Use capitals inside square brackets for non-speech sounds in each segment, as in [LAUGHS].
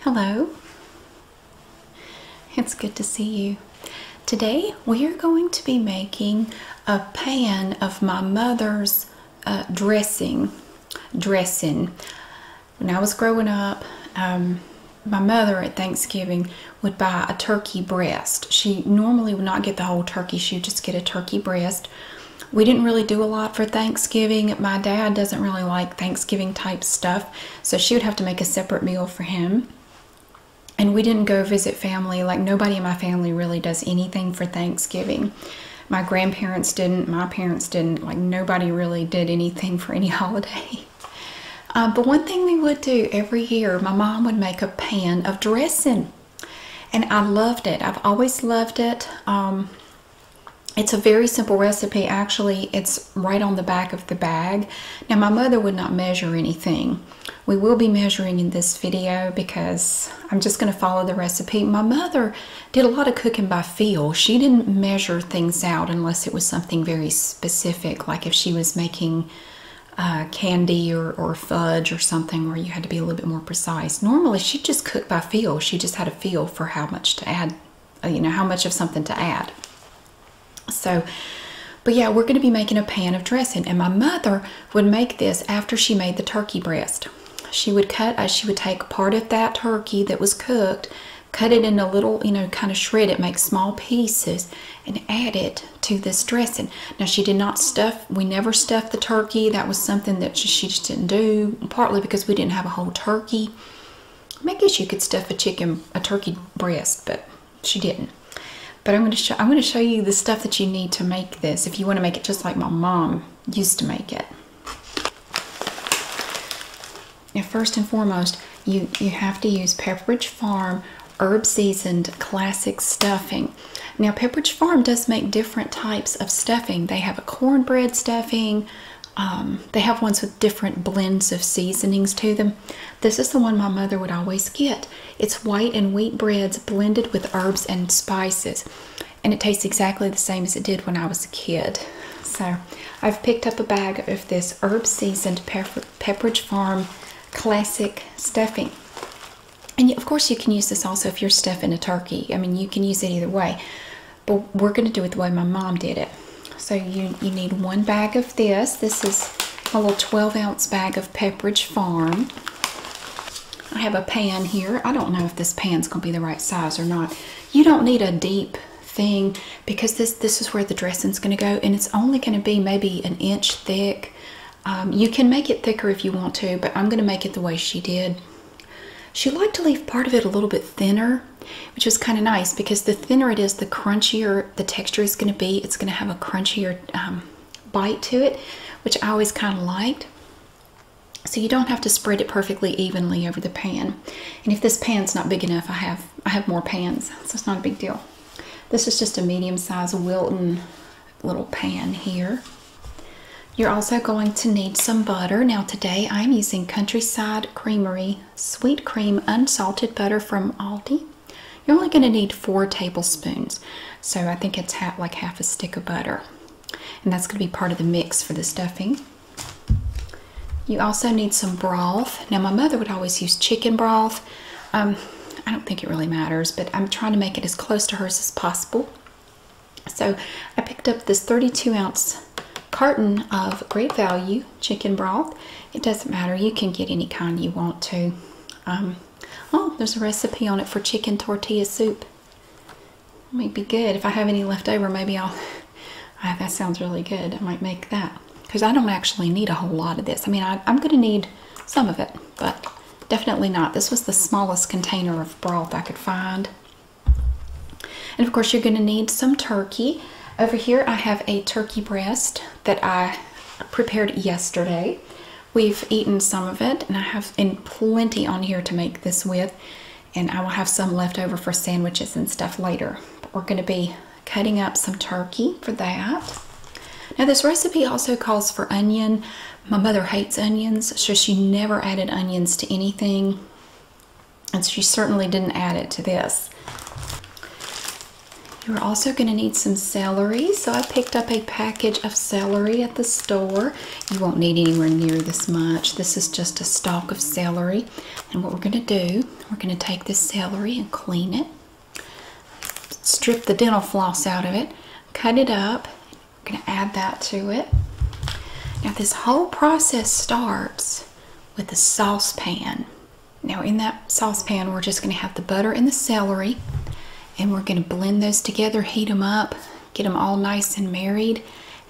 Hello, it's good to see you. Today we are going to be making a pan of my mother's uh, dressing. Dressing. When I was growing up, um, my mother at Thanksgiving would buy a turkey breast. She normally would not get the whole turkey, she would just get a turkey breast we didn't really do a lot for Thanksgiving. My dad doesn't really like Thanksgiving type stuff, so she would have to make a separate meal for him. And we didn't go visit family. Like, nobody in my family really does anything for Thanksgiving. My grandparents didn't, my parents didn't. Like, nobody really did anything for any [LAUGHS] holiday. Uh, but one thing we would do every year, my mom would make a pan of dressing. And I loved it. I've always loved it. Um, it's a very simple recipe, actually. It's right on the back of the bag. Now, my mother would not measure anything. We will be measuring in this video because I'm just going to follow the recipe. My mother did a lot of cooking by feel. She didn't measure things out unless it was something very specific, like if she was making uh, candy or, or fudge or something where you had to be a little bit more precise. Normally, she just cooked by feel. She just had a feel for how much to add uh, you know, how much of something to add. So, but yeah, we're going to be making a pan of dressing. And my mother would make this after she made the turkey breast. She would cut, uh, she would take part of that turkey that was cooked, cut it in a little, you know, kind of shred it, make small pieces, and add it to this dressing. Now, she did not stuff, we never stuffed the turkey. That was something that she just didn't do partly because we didn't have a whole turkey. I, guess you could stuff a chicken, a turkey breast, but she didn't. But I'm going to show I'm going to show you the stuff that you need to make this if you want to make it just like my mom used to make it. Now, first and foremost, you you have to use Pepperidge Farm herb seasoned classic stuffing. Now, Pepperidge Farm does make different types of stuffing. They have a cornbread stuffing, um, they have ones with different blends of seasonings to them. This is the one my mother would always get. It's white and wheat breads blended with herbs and spices, and it tastes exactly the same as it did when I was a kid. So I've picked up a bag of this herb seasoned Pepperidge Farm classic stuffing. And of course, you can use this also if you're stuffing a turkey. I mean, you can use it either way but we're going to do it the way my mom did it. So you, you need one bag of this. This is a little 12 ounce bag of Pepperidge Farm. I have a pan here. I don't know if this pan's going to be the right size or not. You don't need a deep thing because this, this is where the dressing's going to go and it's only going to be maybe an inch thick. Um, you can make it thicker if you want to, but I'm going to make it the way she did. She liked to leave part of it a little bit thinner, which was kind of nice because the thinner it is, the crunchier the texture is going to be. It's going to have a crunchier um, bite to it, which I always kind of liked. So you don't have to spread it perfectly evenly over the pan. And if this pan's not big enough, I have I have more pans, so it's not a big deal. This is just a medium-sized Wilton little pan here. You're also going to need some butter. Now today I'm using Countryside Creamery Sweet Cream Unsalted Butter from Aldi. You're only going to need four tablespoons. So I think it's like half a stick of butter. And that's going to be part of the mix for the stuffing. You also need some broth. Now my mother would always use chicken broth. Um, I don't think it really matters, but I'm trying to make it as close to hers as possible. So I picked up this 32 ounce carton of Great Value chicken broth. It doesn't matter, you can get any kind you want to. Um, oh, there's a recipe on it for chicken tortilla soup. might be good. If I have any left over, maybe I'll. [LAUGHS] Ah, that sounds really good. I might make that. Because I don't actually need a whole lot of this. I mean, I'm going to need some of it, but definitely not. This was the smallest container of broth I could find. And of course, you're going to need some turkey. Over here, I have a turkey breast that I prepared yesterday. We've eaten some of it, and I have in plenty on here to make this with. And I will have some left over for sandwiches and stuff later. But we're going to be cutting up some turkey for that. Now, this recipe also calls for onion, my mother hates onions, so she never added onions to anything, and she certainly didn't add it to this. You're also going to need some celery, so I picked up a package of celery at the store. You won't need anywhere near this much. This is just a stalk of celery, and what we're going to do, we're going to take this celery and clean it, strip the dental floss out of it, cut it up, I'm going to add that to it. Now this whole process starts with the saucepan. Now in that saucepan we're just going to have the butter and the celery and we're going to blend those together, heat them up, get them all nice and married.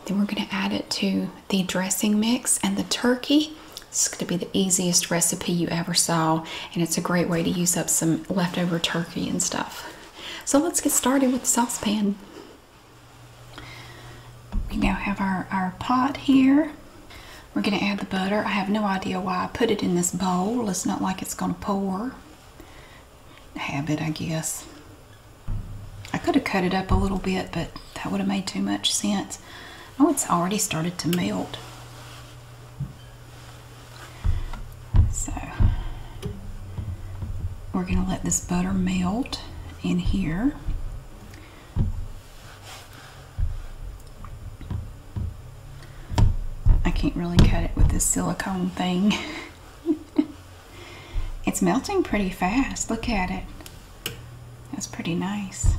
Then we're going to add it to the dressing mix and the turkey. This is going to be the easiest recipe you ever saw and it's a great way to use up some leftover turkey and stuff. So let's get started with the saucepan. We now have our, our pot here. We're going to add the butter. I have no idea why I put it in this bowl. It's not like it's going to pour. Habit, I guess. I could have cut it up a little bit, but that would have made too much sense. Oh, it's already started to melt. So we're going to let this butter melt in here. I can't really cut it with this silicone thing. [LAUGHS] it's melting pretty fast. Look at it. That's pretty nice.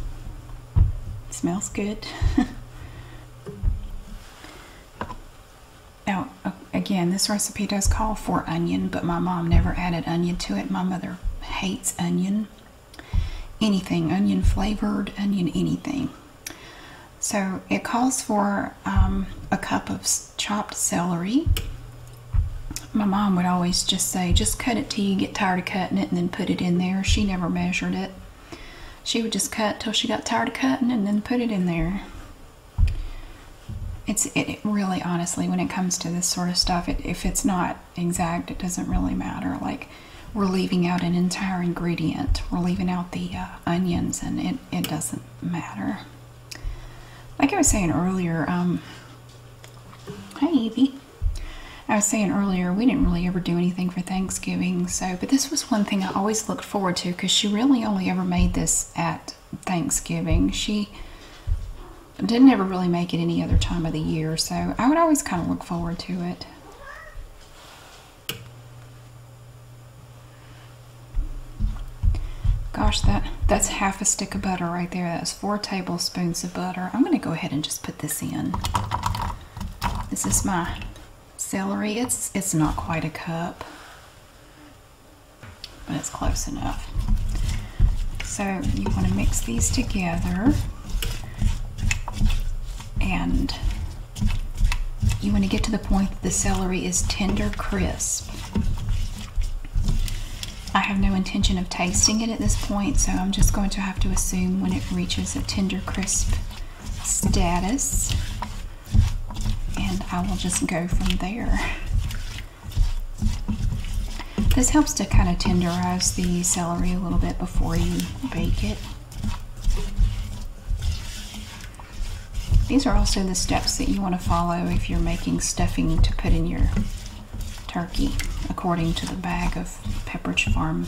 smells good. [LAUGHS] Now, again, this recipe does call for onion, but my mom never added onion to it. My mother hates onion. Anything, onion flavored, onion anything. So it calls for um, a cup of chopped celery. My mom would always just say, just cut it till you get tired of cutting it and then put it in there. She never measured it. She would just cut till she got tired of cutting and then put it in there it's it, really honestly when it comes to this sort of stuff if it's not exact it doesn't really matter like we're leaving out an entire ingredient we're leaving out the uh, onions and it, it doesn't matter like i was saying earlier um hi evie i was saying earlier we didn't really ever do anything for thanksgiving so but this was one thing i always looked forward to because she really only ever made this at Thanksgiving. She didn't ever really make it any other time of the year, so I would always kind of look forward to it. Gosh, that, that's half a stick of butter right there. That's four tablespoons of butter. I'm gonna go ahead and just put this in. This is my celery. It's, it's not quite a cup but it's close enough. So you want to mix these together and you want to get to the point that the celery is tender crisp. I have no intention of tasting it at this point, so I'm just going to have to assume when it reaches a tender crisp status and I will just go from there. This helps to kind of tenderize the celery a little bit before you bake it. These are also the steps that you want to follow if you're making stuffing to put in your turkey, according to the bag of Pepperidge Farm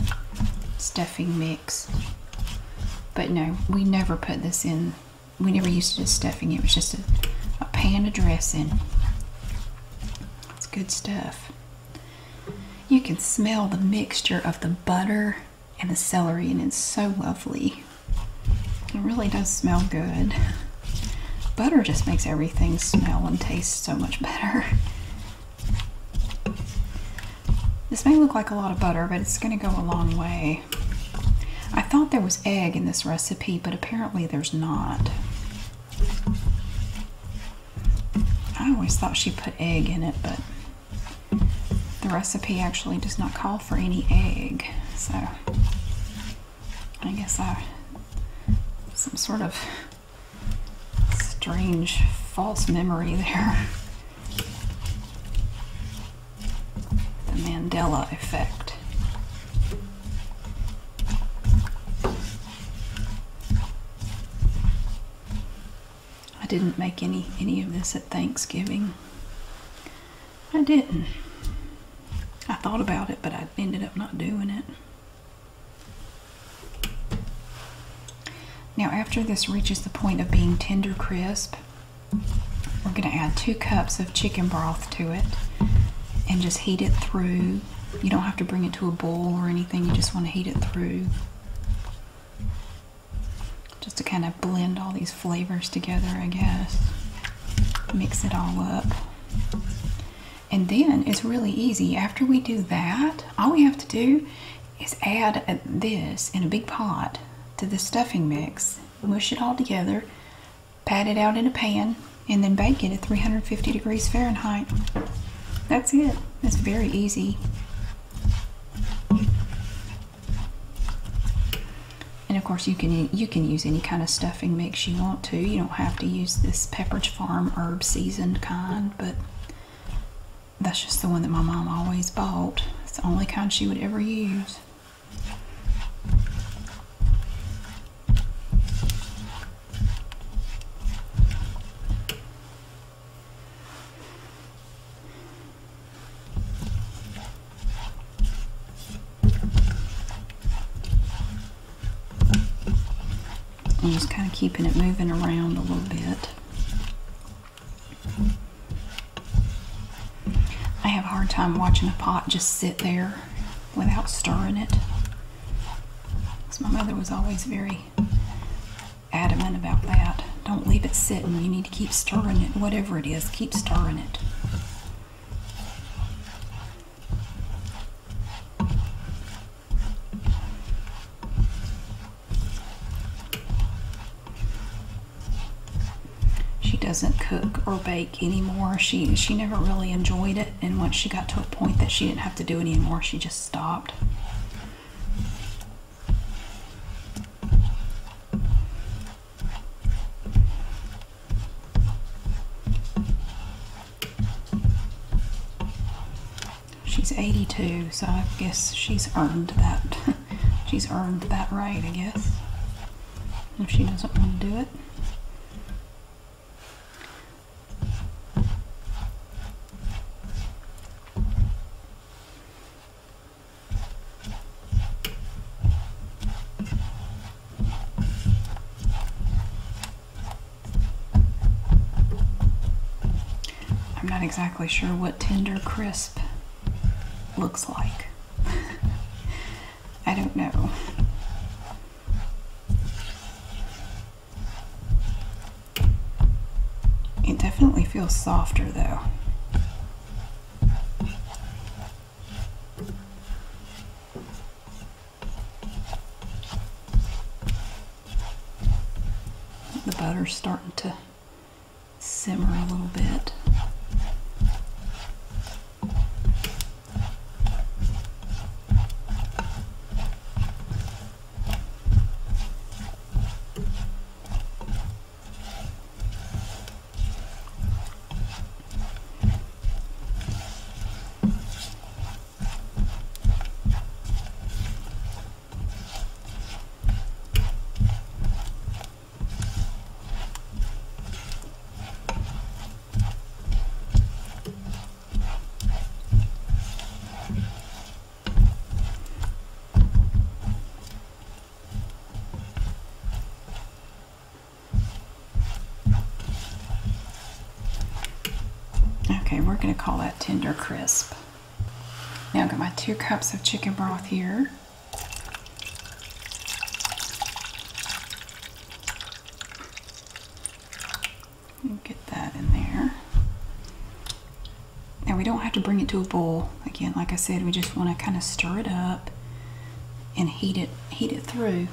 stuffing mix. But no, we never put this in we never used it as stuffing. It was just a pan of dressing. It's good stuff. You can smell the mixture of the butter and the celery, and it's so lovely. It really does smell good. Butter just makes everything smell and taste so much better. This may look like a lot of butter, but it's going to go a long way. I thought there was egg in this recipe, but apparently there's not. I always thought she put egg in it, but the recipe actually does not call for any egg. So I guess I some sort of strange false memory [LAUGHS] there the Mandela effect. I didn't make any any of this at Thanksgiving. I didn't. I thought about it, but I ended up not doing it. Now, after this reaches the point of being tender crisp, we're going to add two cups of chicken broth to it and just heat it through. You don't have to bring it to a boil or anything, you just want to heat it through just to kind of blend all these flavors together, I guess. Mix it all up. And then it's really easy. After we do that, all we have to do is add this in a big pot to the stuffing mix, mush it all together, pat it out in a pan, and then bake it at 350 degrees Fahrenheit. That's it. That's very easy. And of course, you can you can use any kind of stuffing mix you want to. You don't have to use this Pepperidge Farm herb seasoned kind, but that's just the one that my mom always bought. It's the only kind she would ever use. I'm just kind of keeping it moving around a little bit. I have a hard time watching a pot just sit there without stirring it. Because my mother was always very adamant about that. Don't leave it sitting. You need to keep stirring it. Whatever it is, keep stirring it. She doesn't cook or bake anymore. She she never really enjoyed it, and once she got to a point that she didn't have to do it anymore, she just stopped. She's 82, so I guess she's earned that. [LAUGHS] She's earned that right, I guess. If she doesn't want to do it. I'm not exactly sure what tender crisp looks like. I don't know. It definitely feels softer though. The butter's starting to simmer a little bit. Okay, we're going to call that tender crisp. Now I've got my two cups of chicken broth here. Get that in there. Now we don't have to bring it to a boil. Again, like I said, we just want to kind of stir it up and heat it, heat it through.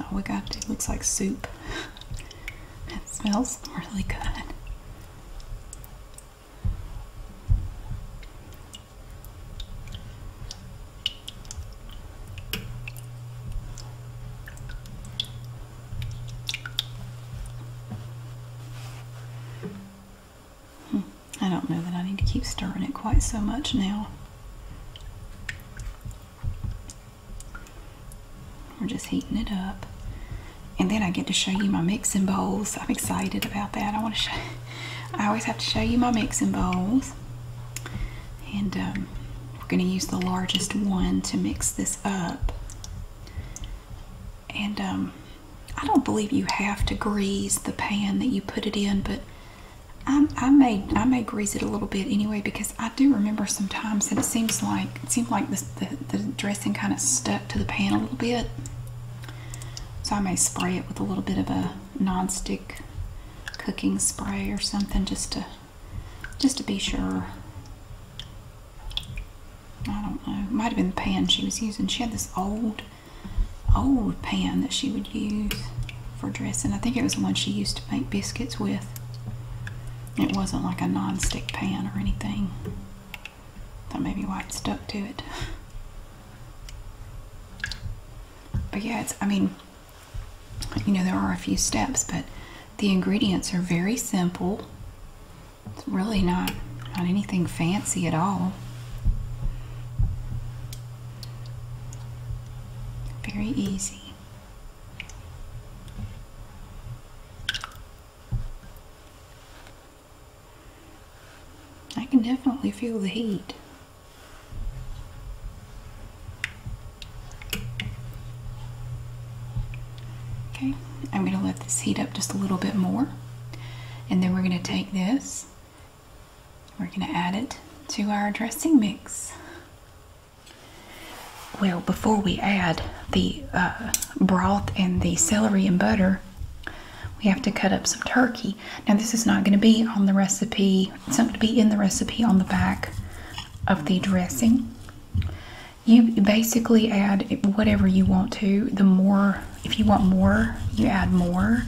Oh my god, it looks like soup. It smells really good. Hmm. I don't know that I need to keep stirring it quite so much now. We're just heating it up. And then I get to show you my mixing bowls. I'm excited about that. I want to show I always have to show you my mixing bowls. And um, we're going to use the largest one to mix this up. And um, I don't believe you have to grease the pan that you put it in, but I, may I may grease it a little bit anyway because I do remember sometimes that it seems like it seemed like the the dressing kind of stuck to the pan a little bit. So I may spray it with a little bit of a non-stick cooking spray or something just to just to be sure. I don't know. might have been the pan she was using. She had this old old pan that she would use for dressing. I think it was the one she used to make biscuits with. It wasn't like a non-stick pan or anything. That may be why it stuck to it. But yeah, it's, I mean, you know, there are a few steps, but the ingredients are very simple. It's really not, not anything fancy at all. Very easy. I can definitely feel the heat. Okay, I'm going to let this heat up just a little bit more. And then we're going to take this, we're going to add it to our dressing mix. Well, before we add the uh, broth and the celery and butter, we have to cut up some turkey. Now, this is not going to be on the recipe, it's not going to be in the recipe on the back of the dressing. You basically add whatever you want to. The more, if you want more, you add more.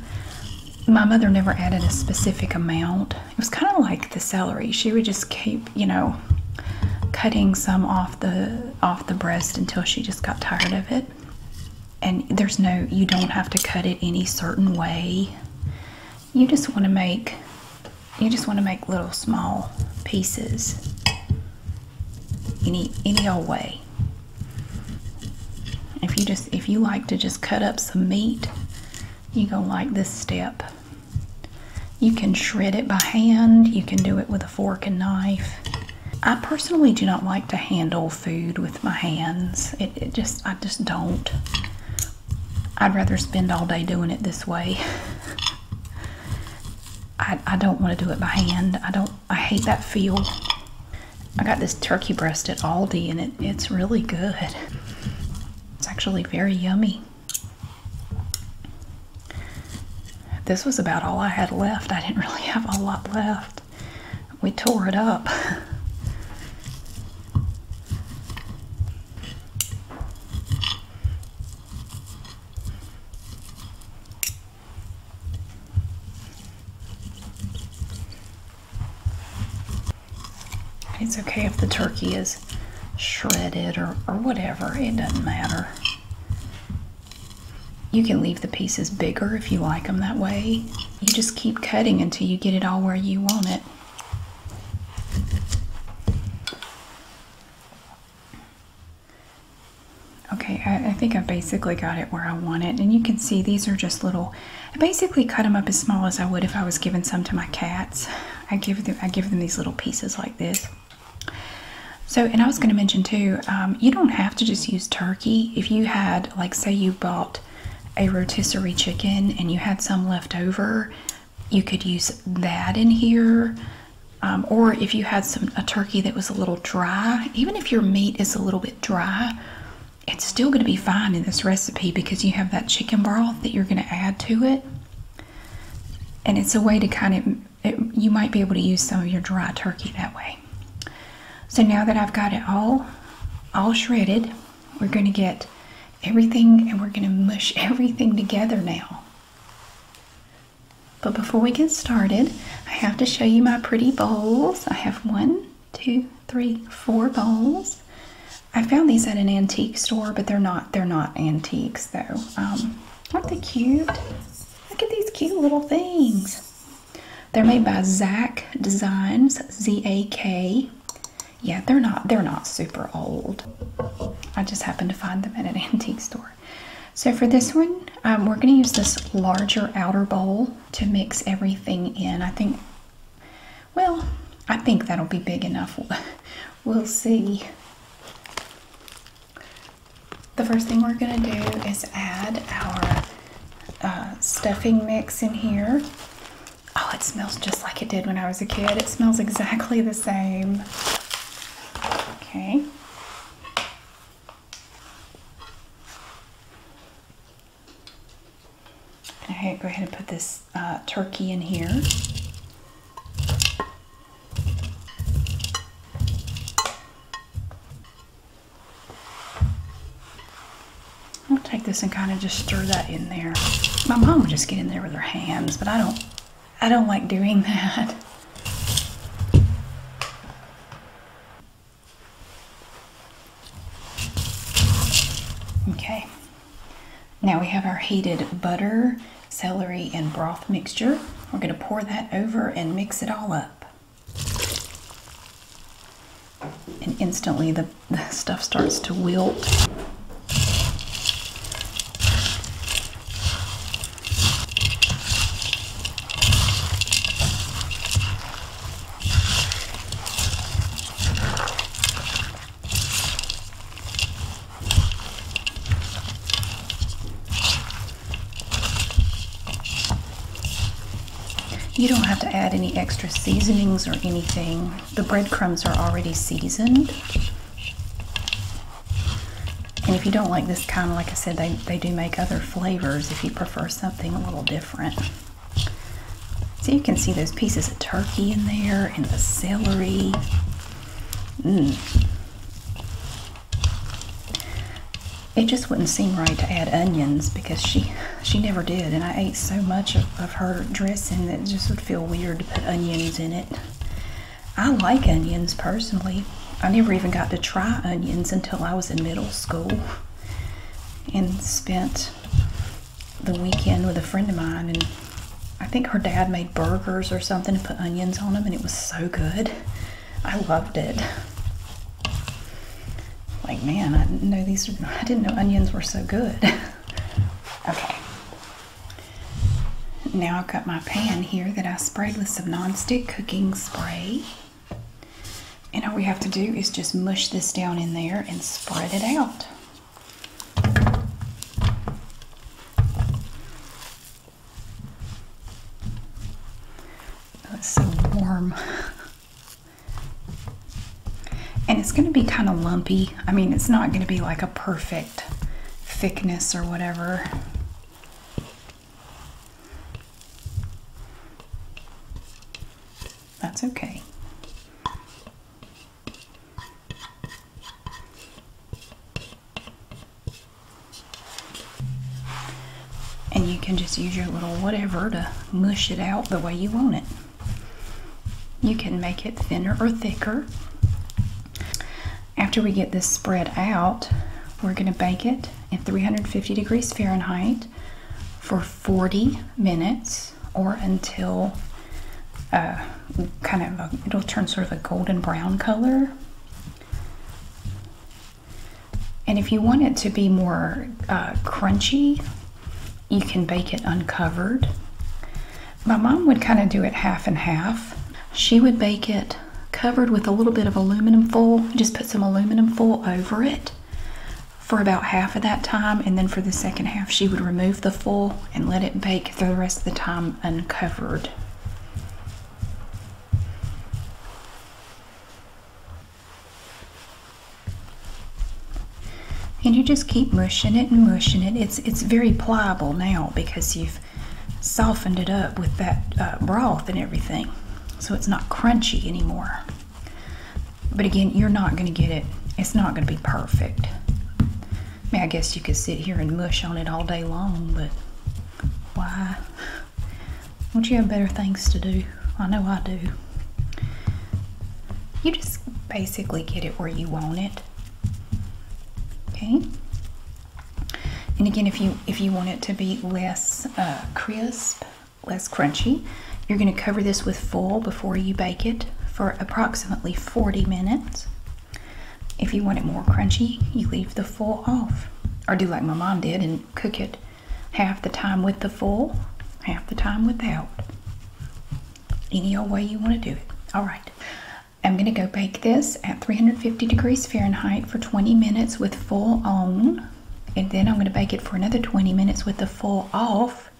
My mother never added a specific amount it was kind of like the celery. She would just keep, you know, cutting some off the off the breast until she just got tired of it. And there's no you don't have to cut it any certain way. You just want to make you just want to make little small pieces any any old way. If you just if you like to just cut up some meat you're going to like this step. You can shred it by hand, you can do it with a fork and knife. I personally do not like to handle food with my hands. It, it just, I just don't. I'd rather spend all day doing it this way. [LAUGHS] I, I don't want to do it by hand. I don't, I hate that feel. I got this turkey breast at Aldi and it, it's really good. It's actually very yummy. This was about all I had left. I didn't [LAUGHS] really have a lot left. We tore it up. It's okay if the turkey is shredded or, or whatever, it doesn't matter. You can leave the pieces bigger if you like them that way. You just keep cutting until you get it all where you want it. Okay, I, I think I basically got it where I want it. And you can see these are just little I basically cut them up as small as I would if I was giving some to my cats. I give them I give them these little pieces like this. So, and I was going to mention too, um, you don't have to just use turkey. If you had, like, say, you bought a rotisserie chicken and you had some left over, you could use that in here. Um, or if you had some a turkey that was a little dry, even if your meat is a little bit dry, it's still going to be fine in this recipe because you have that chicken broth that you're going to add to it. And it's a way to kind of, you might be able to use some of your dry turkey that way. So now that I've got it all, all shredded, we're going to get everything and we're going to mush [LAUGHS] everything together now. But before we get started, I have to show you my pretty bowls. I have one two, three, four bowls. I found these at an antique store, but they're not they're not antiques though. Um, aren't they cute? Look at these cute little things. They're made by Zach Designs, Z-A-K. Yeah, they're not they're not super old. I just happened to find them at an [LAUGHS] antique store. So for this one, um, we're going to use this larger outer bowl to mix everything in. I think well, I think that'll be big enough. We'll see. The first thing we're going to do is add our uh, stuffing mix in here. Oh, it smells just like it did when I was a kid. It smells exactly the same. Okay. All right, go ahead and put this uh, turkey in here. I'll take this and kind of just stir that in there. My mom would just get in there with her hands, but I don't, I don't like doing [LAUGHS] that. Okay, now we have our heated butter, celery, and broth mixture. We're going to pour that over and mix it all up. And instantly the, stuff starts to wilt. You don't have to add any extra seasonings or anything. The breadcrumbs are already seasoned. And if you don't like this kind, like I said, they, they do make other flavors if you prefer something a little different. So you can see those pieces of turkey in there and the celery. Mmm. It just wouldn't seem right to add onions because she she never did and I ate so much of, of her dressing that it just would feel weird to put onions in it. I like onions personally. I never even got to try onions until I was in middle school and spent the weekend with a friend of mine, and I think her dad made burgers or something and put onions on them, and it was so good. I loved it. Like, man, I didn't know these, I didn't know onions were so good. [LAUGHS] okay. Now I've got my pan here that I sprayed with some nonstick cooking spray. And all we have to do is just mush this down in there and spread it out. That's so warm. And it's going to be kind of lumpy. I mean, it's not going to be like a perfect thickness or whatever. That's okay. And you can just use your little whatever to mush it out the way you want it. You can make it thinner or thicker. After we get this spread out, we're going to bake it at 350 degrees Fahrenheit for 40 minutes or until uh, kind of it'll turn sort of a golden brown color. And if you want it to be more uh, crunchy, you can bake it uncovered. My mom would kind of do it half and half. She would bake it covered with a little bit of aluminum foil, just put some aluminum foil over it for about half of that time, and then for the second half, she would remove the foil and let it bake for the rest of the time uncovered. And you just keep mushing it and mushing it. It's it's very pliable now because you've softened it up with that uh, broth and everything, so it's not crunchy anymore. But again, you're not going to get it. It's not going to be perfect. I mean, I guess you could sit here and mush on it all day long, but why? Don't you have better things to do? I know I do. You just basically get it where you want it. Okay? And again, if you if you want it to be less uh, crisp, less crunchy. You're going to cover this with foil before you bake it for approximately 40 minutes. If you want it more crunchy, you leave the foil off. Or do like my mom did and cook it half the time with the foil, half the time without. Any old way you want to do it. All right. I'm going to go bake this at 350 degrees Fahrenheit for 20 minutes with foil on and then I'm going to bake it for another 20 minutes with the foil off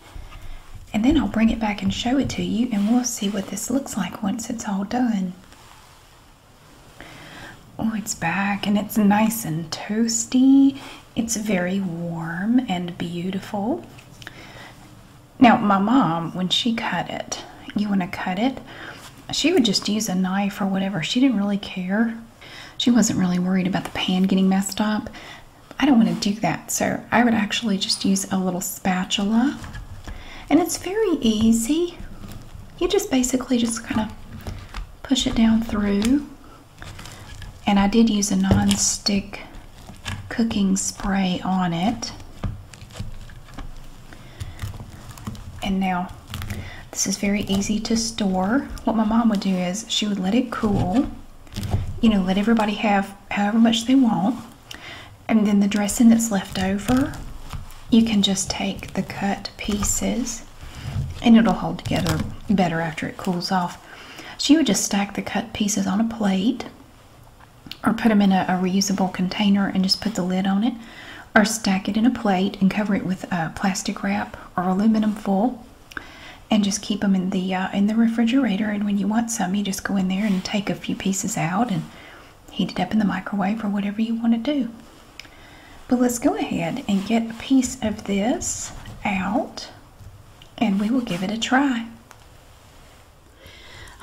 and then I'll bring it back and show it to you and we'll see what this looks like once it's all done. Oh, it's back and it's nice and toasty. It's very warm and beautiful. Now, my mom, when she cut it, you want to cut it, she would just use a knife or whatever. She didn't really care she wasn't really worried about the pan getting messed up. I don't want to do that, so I would actually just use a little spatula. And it's very easy. You just basically just kind of push it down through. And I did use a non-stick cooking spray on it. And now this is very easy to store. What my mom would do is she would let it cool, you know, let everybody have however much they want. And then the dressing that's left over, you can just take the cut pieces and it'll hold together better after it cools off. She would just stack the cut pieces on a plate or put them in a, reusable container and just put the lid on it or stack it in a plate and cover it with uh, plastic wrap or aluminum foil and just keep them in the uh, in the refrigerator. And when you want some, you just go in there and take a few pieces out and heat it up in the microwave or whatever you want to do. But let's go ahead and get a piece of this out, and we will give it a try.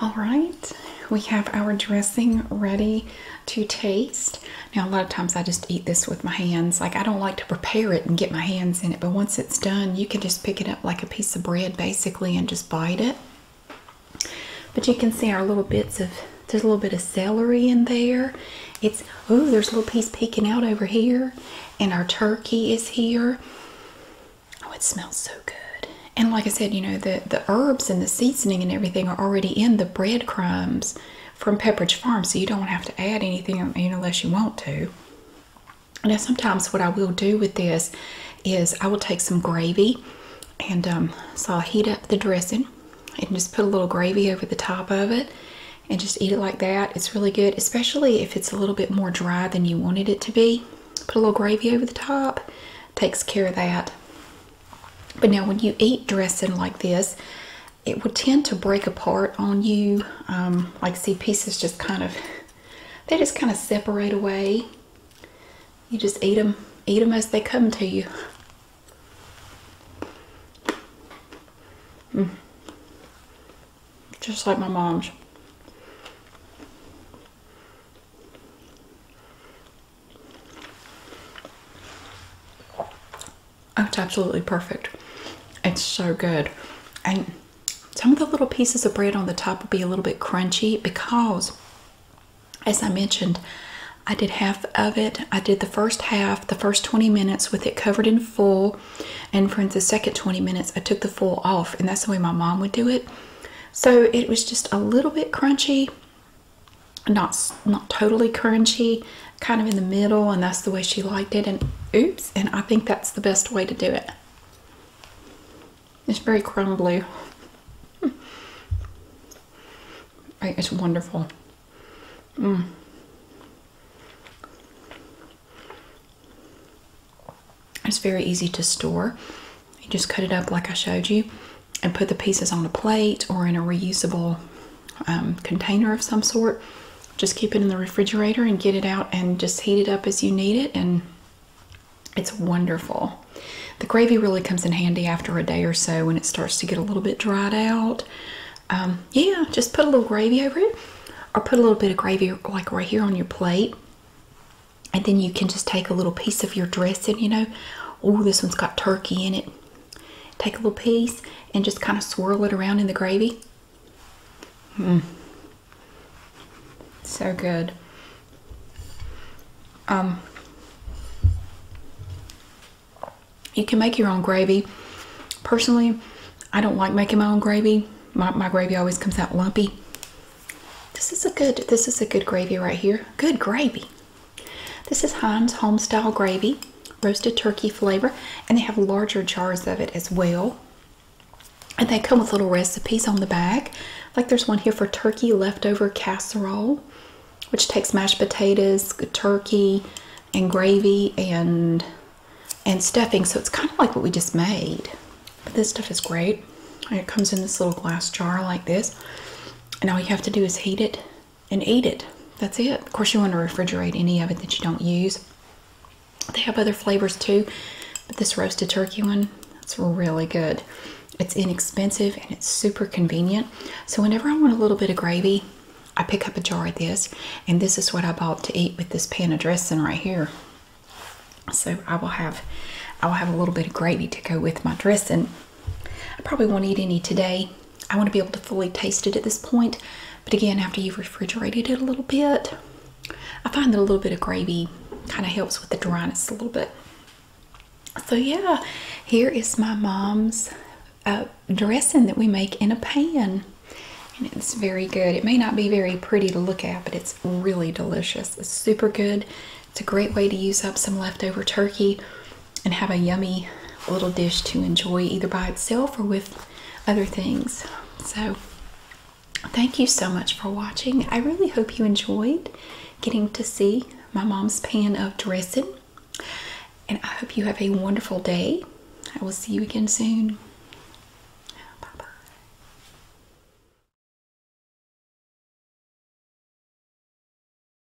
All right, we have our dressing ready to taste. Now, a lot of times I just eat this with my hands. Like, I don't like to prepare it and get my hands in it, but once it's done, you can just pick it up like a piece of bread basically and just bite it. But you can see our little bits of, there's a little bit of celery in there. It's, oh, there's a little piece peeking out over here. And our turkey is here. Oh, it smells so good. And like I said, you know, the, the herbs and the seasoning and everything are already in the breadcrumbs from Pepperidge Farm, so you don't have to add anything unless you want to. Now, sometimes what I will do with this is I will take some gravy, and um, so I'll heat up the dressing and just put a little gravy over the top of it and just eat it like that. It's really good, especially if it's a little bit more dry than you wanted it to be. Put a little gravy over the top, takes care of that. But now when you eat dressing like this, it would tend to break apart on you. Um, like see pieces just kind of, they just kind of separate away. You just eat them, eat them as they come to you. Mm. Just like my mom's it's absolutely perfect. It's so good. And some of the little pieces of bread on the top will be a little bit crunchy because, as I mentioned, I did half of it. I did the first half, the first 20 minutes with it covered in full. And for the second 20 minutes, I took the full off. And that's the way my mom would do it. So it was just a little bit crunchy, not not totally crunchy kind of in the middle and that's the way she liked it and oops and I think that's the best way to do it it's very crumbly hmm. it's wonderful mm. it's very easy to store you just cut it up like I showed you and put the pieces on a plate or in a reusable um, container of some sort. Just keep it in the refrigerator and get it out and just heat it up as you need it, and it's wonderful. The gravy really comes in handy after a day or so when it starts to get a little bit dried out. Um, yeah, just put a little gravy over it, or put a little bit of gravy like right here on your plate, and then you can just take a little piece of your dressing, you know. Oh, this one's got turkey in it. Take a little piece and just kind of swirl it around in the gravy. Mm. So good. Um, you can make your own gravy. Personally, I don't like making my own gravy. My, my gravy always comes out lumpy. This is a good, this is a good gravy right here. Good gravy. This is Heinz Homestyle Gravy, roasted turkey flavor, and they have larger jars of it as well. And they come with little recipes on the back. Like there's one here for turkey leftover casserole, which takes mashed potatoes, turkey, and gravy and and stuffing. So it's kind of like what we just made. But this stuff is great. it comes in this little glass jar like this. And all you have to do is heat it and eat it. That's it. Of course, you want to refrigerate any of it that you don't use. They have other flavors too, but this roasted turkey one, that's really good. It's inexpensive and it's super convenient. So whenever I want a little bit of gravy, I pick up a jar of this, and this is what I bought to eat with this pan of dressing right here. So I will have, I will have a little bit of gravy to go with my dressing I probably won't eat any today. I want to be able to fully taste it at this point. But again, after you've refrigerated it a little bit, I find that a little bit of gravy kind of helps with the dryness a little bit. So yeah, here is my mom's uh, dressing that we make in a pan. And it's very good. It may not be very pretty to look at, but it's really delicious. It's super good. It's a great way to use up some leftover turkey and have a yummy little dish to enjoy either by itself or with other things. So, thank you so much for watching. I really hope you enjoyed getting to see my mom's pan of dressing. And I hope you have a wonderful day. I will see you again soon. Bye bye.